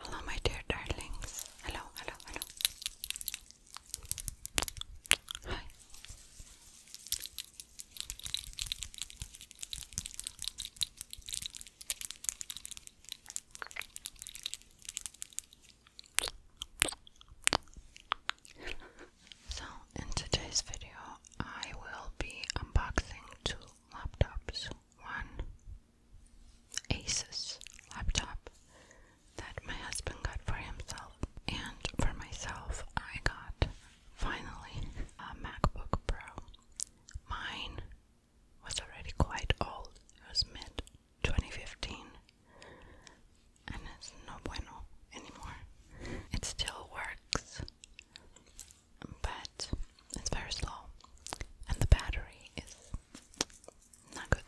Hello, my dear darlings. Hello, hello, hello. Hi. so, in today's video, I will be unboxing two laptops. One Asus laptop that my husband got for himself. And for myself, I got finally a MacBook Pro. Mine was already quite old, it was mid 2015, and it's no bueno anymore. It still works, but it's very slow and the battery is not good.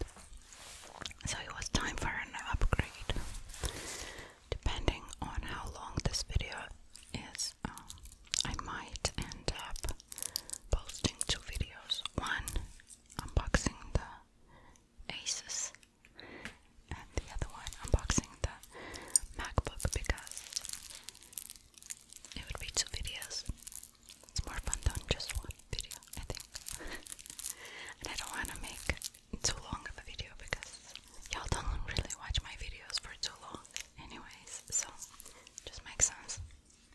So it was time for an upgrade. Depending on how long this video is, um, I might end up posting two videos. One unboxing the Asus, and the other one unboxing the MacBook because it would be two videos. It's more fun than just one video, I think. and I don't want to make too long of a video because y'all don't really watch my videos for too long, anyways. So, just makes sense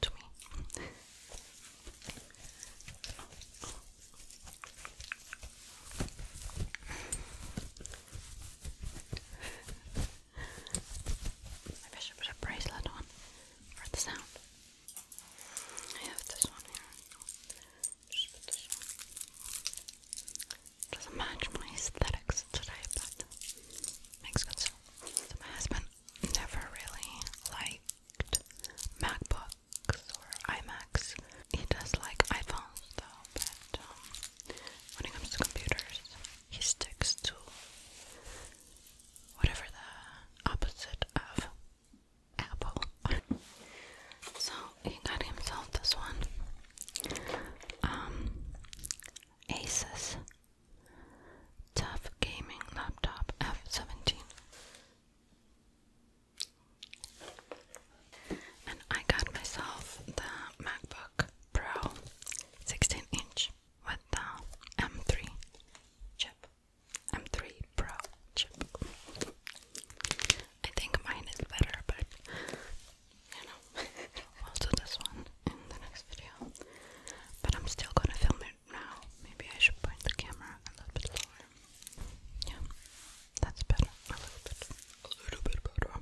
to me. Maybe I should put a bracelet on for the sound. I have this one here. Doesn't match my aesthetics today, but makes good sense. my husband never really liked MacBooks or iMacs. He does like iPhones though, but um, when it comes to computers, he sticks to whatever the opposite of apple. so he got himself this one. Um, Asus Tough Gaming Laptop F17. And I got myself the MacBook Pro 16 inch with the M3 chip, M3 Pro chip. I think mine is better, but you know, we this one in the next video. But I'm still gonna film it now. Maybe I should point the camera a little bit lower. Yeah, that's better. A little bit, a little bit better.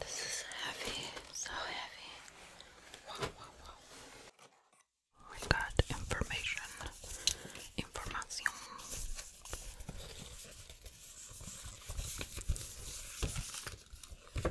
This is heavy, so heavy. Wow, wow, wow. information. Information.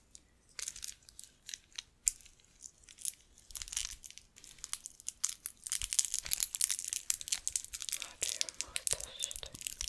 How do you remove this thing? Oh.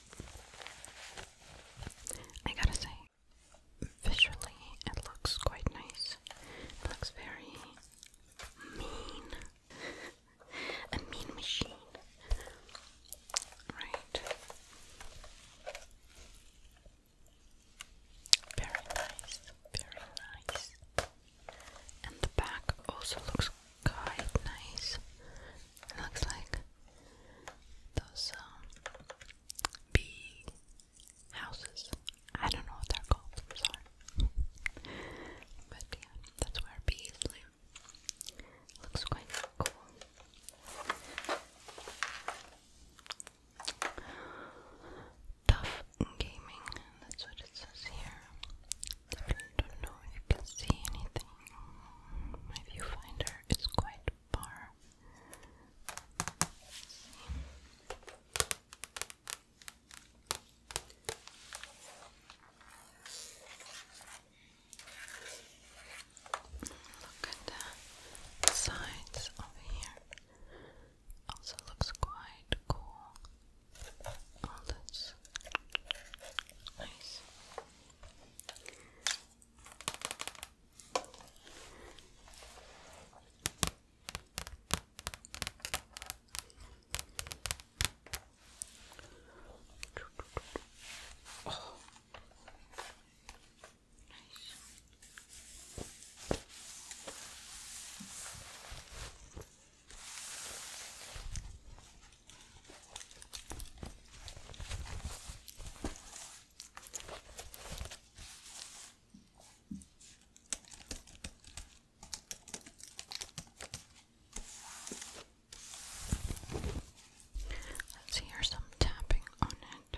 I gotta say, visually it looks quite nice. It looks very mean. A mean machine. Right. Very nice. Very nice. And the back also looks quite nice. It looks like those um, bee houses. I don't know what they're called, sorry. But yeah, that's where bees live. Looks quite cool. Tough Gaming, that's what it says here. I don't know if you can see anything. My viewfinder is quite far. Look at the sides over here. Also looks quite cool. Oh, that's nice. Oh, nice. Let's hear some tapping on it.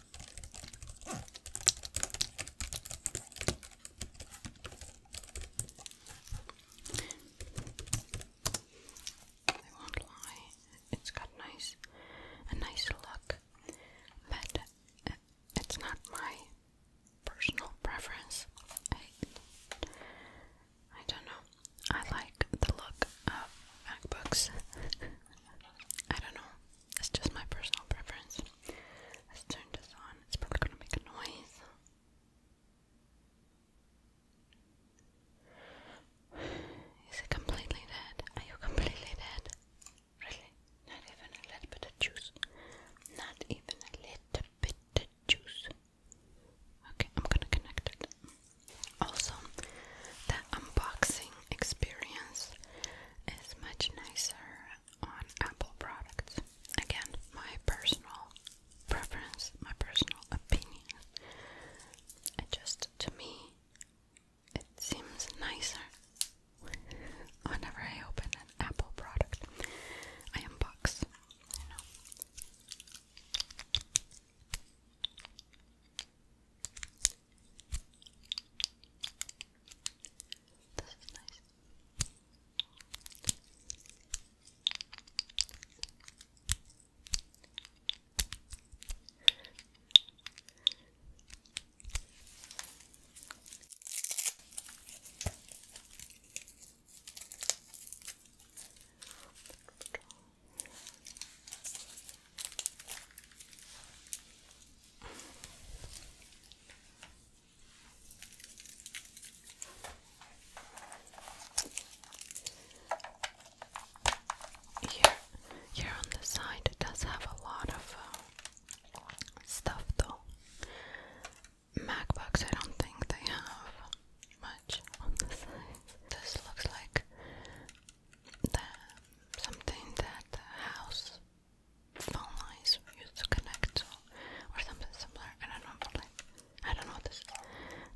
I won't lie, it's got nice, a nice look, but uh, it's not my personal preference. I, I don't know. I like the look of MacBooks. I don't know. It's just my personal preference. Let's turn this on. It's probably gonna make a noise. Is it completely dead? Are you completely dead? Really? Not even a little bit of juice. Not even a little bit of juice. Okay, I'm gonna connect it. Also, the unboxing experience is much nicer on Apple products. Again, my personal preference, my personal opinion. It just, to me, it seems nicer whenever I open an Apple product. I unbox, this is nice. Let's draw. Here, here on the side, it does have a lot of uh, stuff though. MacBooks, I don't think they have much on the side. This looks like uh, something that the house phone lines used to connect to, or something similar. I don't know, what this is.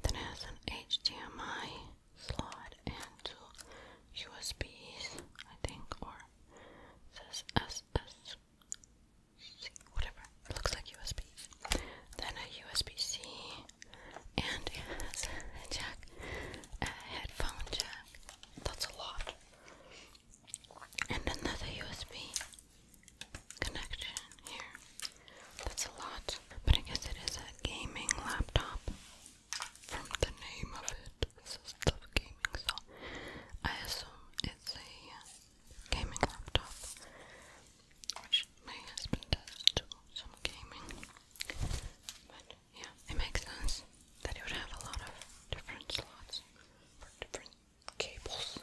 Then it has an HDMI slot and two USBs, I think, or it says SS, whatever. looks like USBs. Then a USB-C, and it has a jack, a headphone jack, that's a lot. And another USB connection here. That's a lot. But I guess it is a gaming laptop from the name of it. It says gaming, so I assume it's a gaming laptop. my husband does some gaming. Yeah, it makes sense that it would have a lot of different slots for different cables.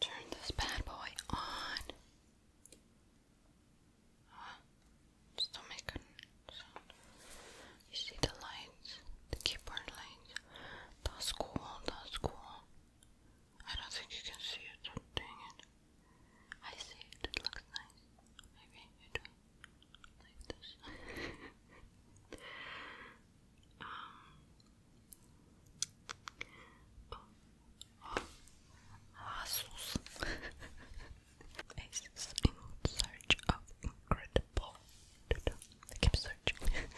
turn this bad boy on. Oh, uh, still making sound. You see the lights, the keyboard lights. That's cool, that's cool. I don't think you can see it, dang it. I see it, it looks nice. Maybe you do like this. in search of incredible keep searching.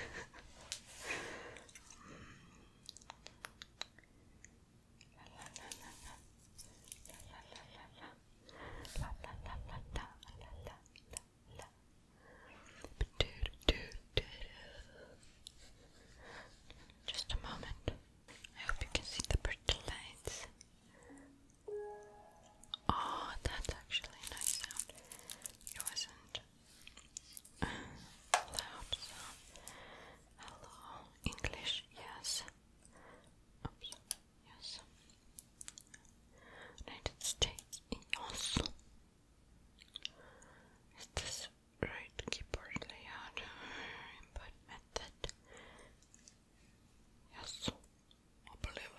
Just a moment. I hope you can see the pretty lights. Oh, that's actually a nice sound. It wasn't loud sound. Hello, English, yes. Yes. United States. Yes. Is this right keyboard layout? Input method. Yes. I believe.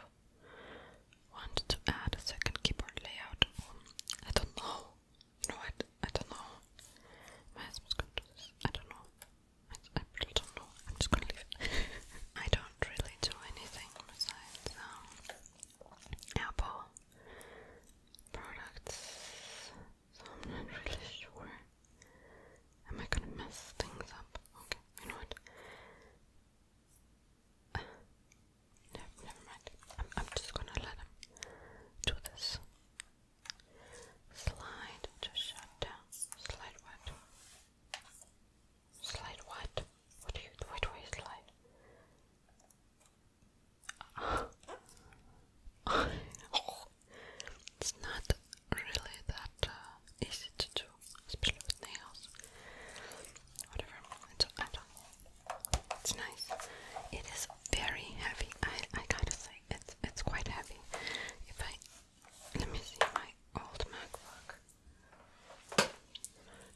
Want to add a second keyboard layout? I don't know. You know what? I don't know. My husband's gonna this. I don't know. I, don't know. I'm just gonna leave it. I don't really do anything besides um, Apple products, so I'm not really sure. Am I gonna mess things up? Okay, you know what? no, never mind. I'm just gonna let him do this. Slide to shut down. Slide what? Slide what? What do you what do you slide? it's not really that uh, easy to do, especially with nails. Whatever, it's, I don't, it's nice. It is very heavy. I I gotta say, it's it's quite heavy. If I let me see my old MacBook.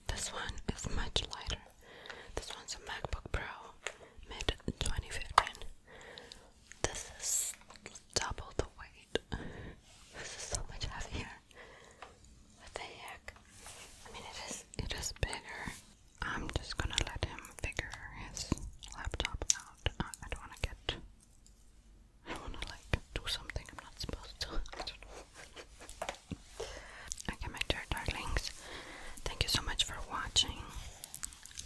This one is much lighter. This one's a MacBook Pro mid 2015. This is double the weight. This is so much heavier. the heck? I mean it is it is bigger. I'm just gonna let him figure his laptop out. Uh, I, don't want to get. I want to like do something I'm not supposed to. I don't my dear darlings, thank you so much for watching.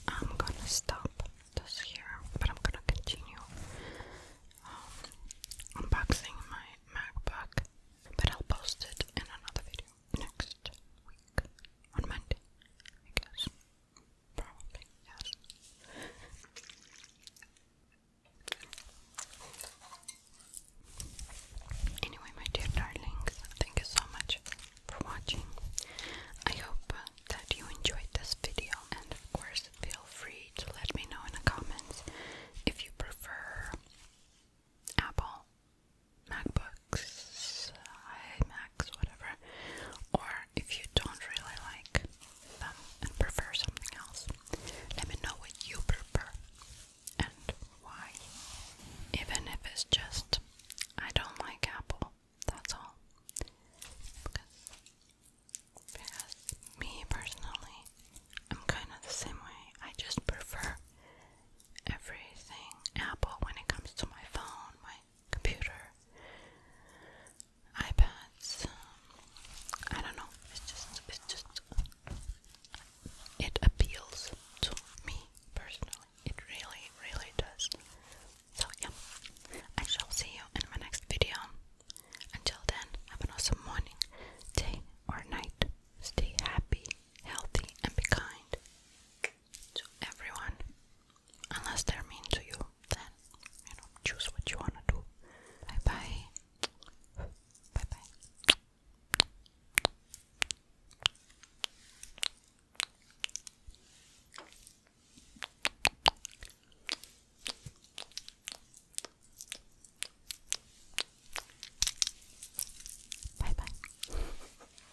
I'm gonna stop this here, but I'm gonna continue um, unboxing my MacBook. But I'll post it in another video next week on Monday, I guess. Probably, yes. Anyway, my dear darlings, thank you so much for watching. I hope that you enjoyed this video, and of course, feel free to let me know in the comments if you prefer Apple, MacBook, Max, whatever. Or if you don't really like them and prefer something else, let me know what you prefer and why. Even if it's just, I don't like Apple, that's all. Because, me personally, I'm kind of the same way. I just prefer everything Apple when it comes to my phone, computer, iPads. Um, I don't know. It's just, it's just, it appeals to me personally. It really, really does. So yeah, I shall see you in my next video. Until then, have an awesome morning, day, or night. Stay happy, healthy, and be kind to everyone unless they're mean to you, then you know, choose what you wanna do. Bye bye. Bye bye. Bye bye.